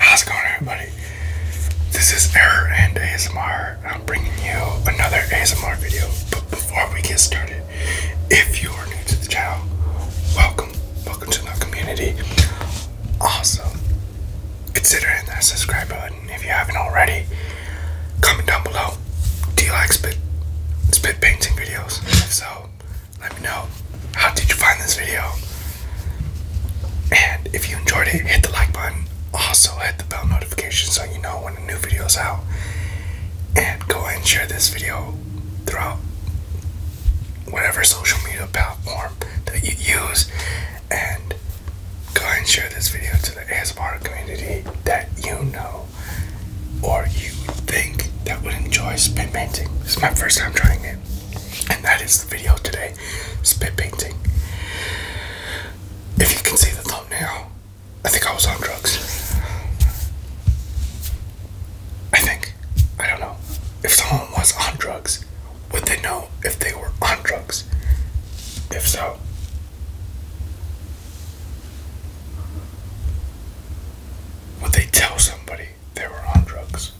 How's it going, everybody? This is Error and ASMR. I'm bringing you another ASMR video. But before we get started, if you are new to the channel, welcome, welcome to the community. Awesome consider hitting that subscribe button if you haven't already. Comment down below. Do you like spit spit painting videos? If so, let me know. How did you find this video? And if you enjoyed it, hit the like button. Also hit the bell notification so you know when a new video is out. And go ahead and share this video throughout whatever social media platform that you use and go and share this video to the ASMR community that you know or you think that would enjoy spit painting. This is my first time trying it. And that is the video today, spit painting. If you can see the thumbnail, I think I was on drugs. I think. I don't know. If someone was on drugs would they know if they were on drugs? If so, would they tell somebody they were on drugs?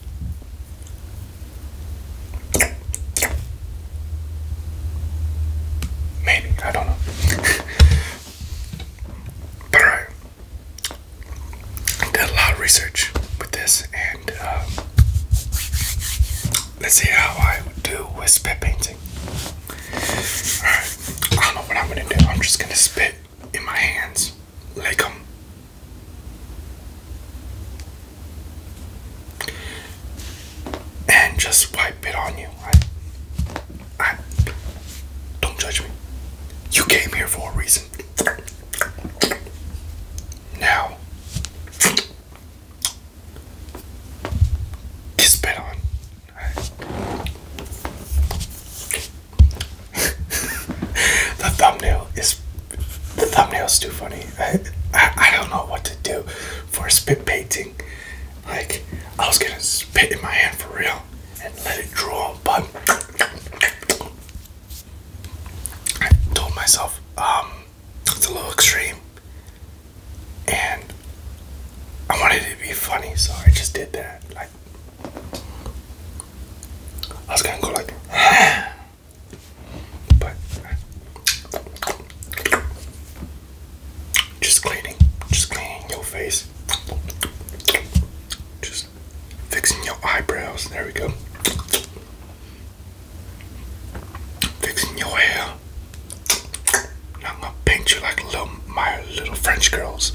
Maybe, I don't know. but alright. I did a lot of research with this, and um, let's see how I do with spit painting. Alright, I don't know what I'm gonna do. I'm just gonna spit in my hands, like them. And just wipe it on you. I, I, don't judge me. You came here for a reason. Now, spit on. the thumbnail is the thumbnail's too funny. I, I, don't know what to do for spit painting. Like I was gonna spit in my hand for real and let it draw, but I told myself um, it's a little extreme, and I wanted it to be funny, so I just did that. Like I was gonna go like, but just cleaning, just cleaning your face. Just fixing your eyebrows. There we go. Fixing your hair. Now I'm gonna paint you like little, my little French girls.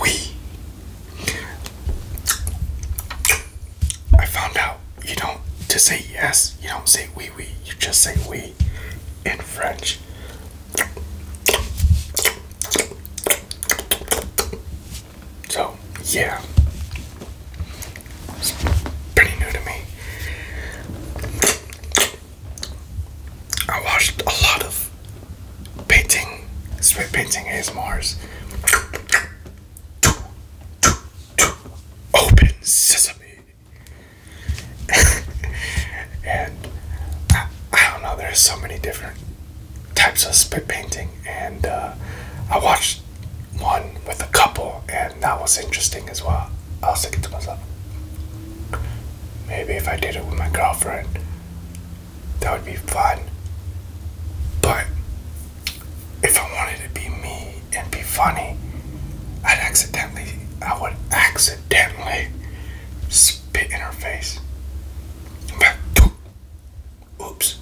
We. I found out you don't to say yes. You don't say oui oui. You just say oui in French. So, yeah. pretty new to me. I watched a lot of painting, spray painting ASMRs. Open sesame. and I don't know, there's so many different types of spit painting, and uh, I watched one with a couple, and that was interesting as well. I was thinking to myself, maybe if I did it with my girlfriend, that would be fun. But if I wanted to be me and be funny, I'd accidentally, I would accidentally. spit in her face. Oops.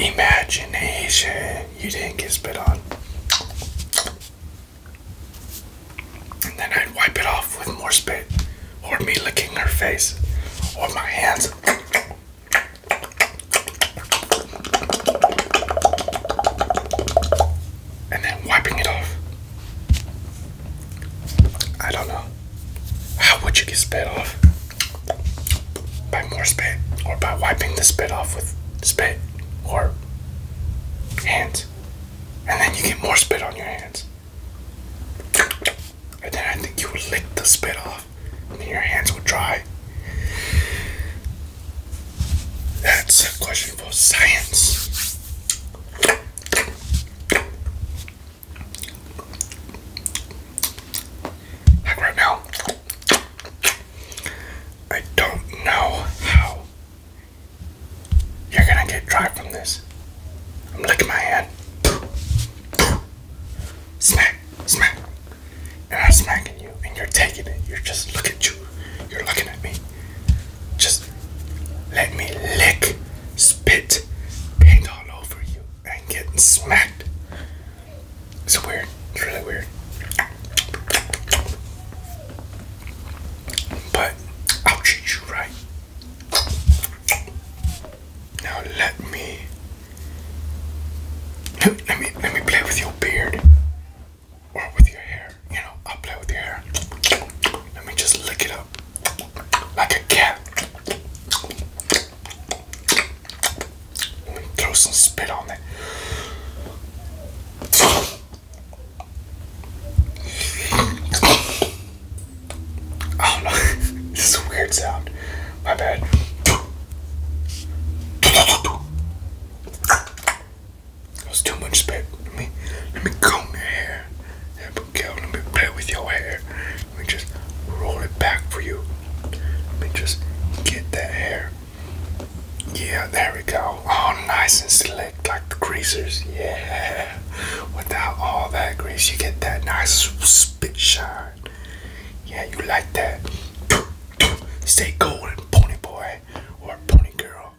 Imagination. You didn't get spit on. And then I'd wipe it off with more spit. Or me licking her face. Or my hands and then wiping it off. I don't know. How would you get spit off? By more spit, or by wiping the spit off with spit or hands, and then you get more spit on your hands. And then I think you would lick the spit off, and your hands will dry. That's a question for science. Like right now, I don't know how you're gonna get dry from this. I'm licking my hand. Smack, smack. And I'm smacking you, and you're taking it. You're just look at you. You're looking at me. Just let me lick, spit, paint all over you, and get smacked. It's weird. It's really weird. But I'll treat you right. Now let me let me let me play with your beard or with your hair. You know, i play with your hair. Let me just lick it up like a cat. Let me throw some spit on it. I do this is a weird sound. My bad. It too much spit. Let me, let me comb your hair. Abigail, let me play with your hair. Let me just roll it back for you. Let me just get that hair. Yeah, there we go. All nice and slick like the greasers. Yeah. Without all that grease, you get that nice spit shine. Yeah, you like that. Stay golden, pony boy guy or pony girl.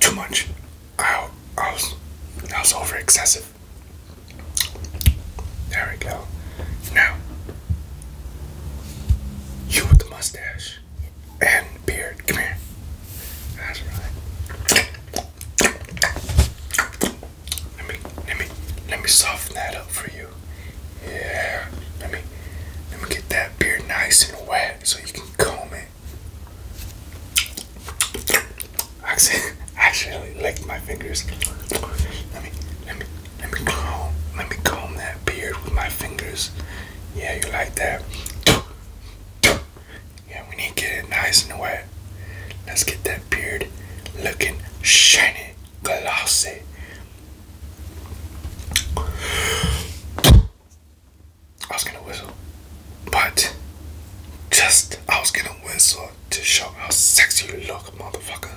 Too much. I, I was I was over There we go. Now you with the mustache and beard. Come here. That's right. Let me let me let me soften that up for you. Yeah. Let me let me get that beard nice and wet so you can comb it. I actually licked my fingers. Let me let me let me comb let me comb that beard with my fingers. Yeah, you like that? Yeah, we need to get it nice and wet. Let's get that beard looking shiny, glossy. I was gonna whistle, but just I was gonna whistle to show how sexy you look, motherfucker.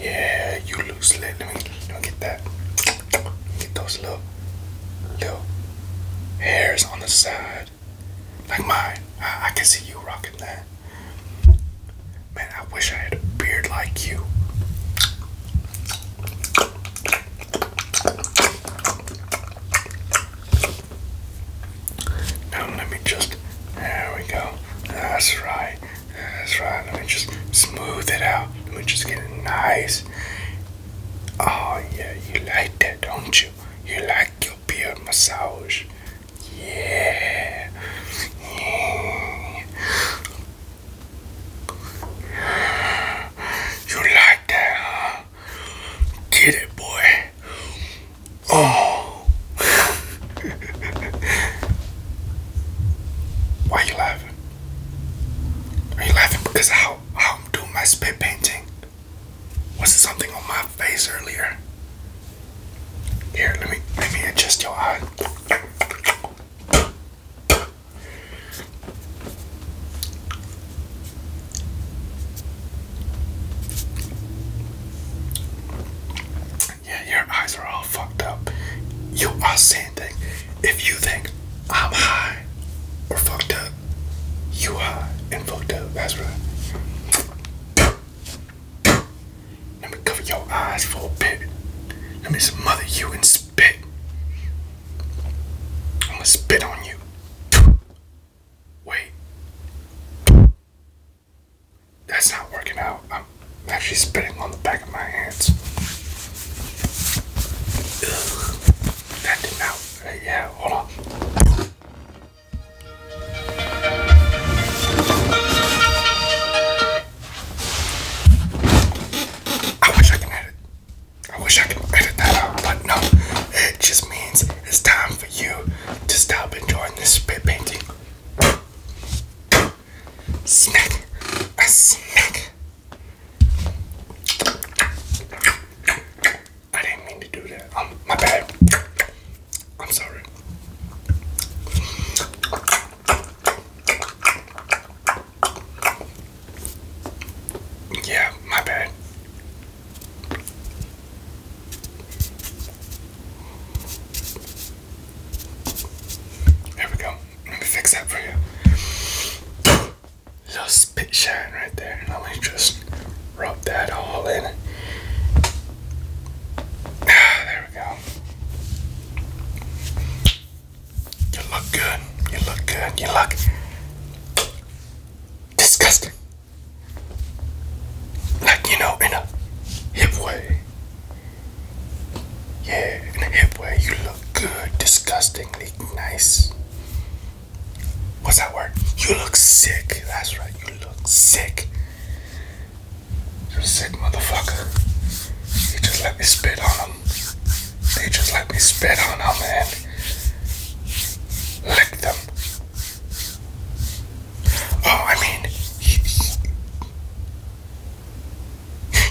Yeah, you look slick. Let me, get that. get those little, little hairs on the side like mine. I, can see you rocking that. Man, I wish I had a beard like you. Now let me just. There we go. That's right. That's right. Let me just smooth it out. Let me just get it nice. Oh yeah, you like that, don't you? You like you beard massage. Yeah. You like that, huh? Get it, boy. Oh. Why are you laughing? Are you laughing because how, how I'm doing my spit painting? Was something on my face earlier? Here, let me let me adjust your eye. Yeah, your eyes are all fucked up. You are saying if you think I'm high or fucked up, you are and fucked up. That's right. Let me cover your eyes for a bit. Let me smother you and spit. I'm gonna spit on you. Wait. That's not working out. I'm actually spitting on the back of my hands that did not. Uh, yeah, hold on. I wish I can edit. I wish I could edit that out, but no. It just means it's time for you to stop enjoying this spit painting. Snack. A snack. I didn't mean to do that. Um, my bad. I'm sorry. Yeah, my bad. There we go. Let me fix that for you little spit shine right there. and let me just rub that all in. there we go. You look good. You look good. You look disgusting. Like, you know, in a hip way. Yeah, in a hip way. You look good. Disgustingly nice. What's that word? You look sick. That's right. You look sick. You're sick, motherfucker. They just let me spit on them. They just let me spit on them and lick them. Oh, I mean,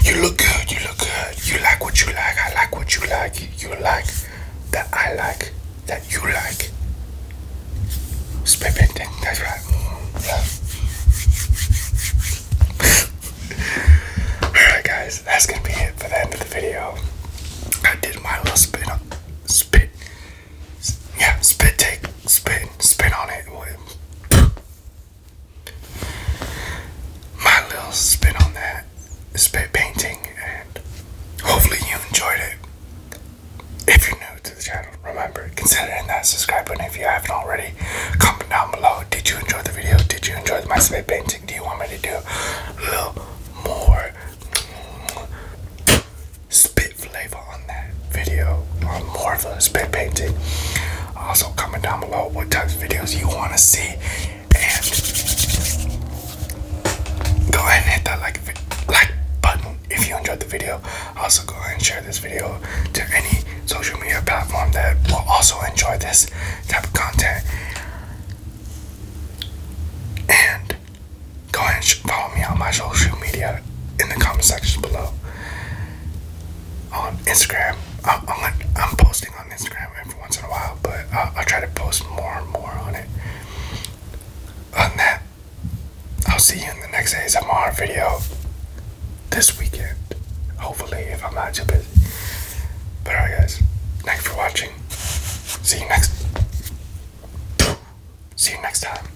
you look good, you look good. You like what you like, I like what you like. You like that I like, that you like. Spit it, that's right. Mm-hmm. Alright guys, that's gonna be it for the end of the video. I did my little spin up spit yeah, spit take spin spin on it my little spin on that is painting, and hopefully you enjoyed it. If you're new to the channel, remember consider hitting that subscribe button if you haven't already. Comment down below. Did you enjoy the video? Did you enjoy my spit painting? Do you want me to do a little more spit flavor on that video? On more of a spit painting? Also, comment down below what types of videos you want to see, and go ahead and hit that like button if you enjoyed the video. Also, go ahead and share this video to any social media platform that will also enjoy this type of content. And go ahead and follow me on my social media in the comment section below on Instagram. I'm, posting on Instagram every once in a while, but I'll, uh, I'll try to post more and more on it. On that, I'll see you in the next ASMR video this weekend. Hopefully, if I'm not too busy. But alright, guys. Thanks for watching. See you next. See you next time.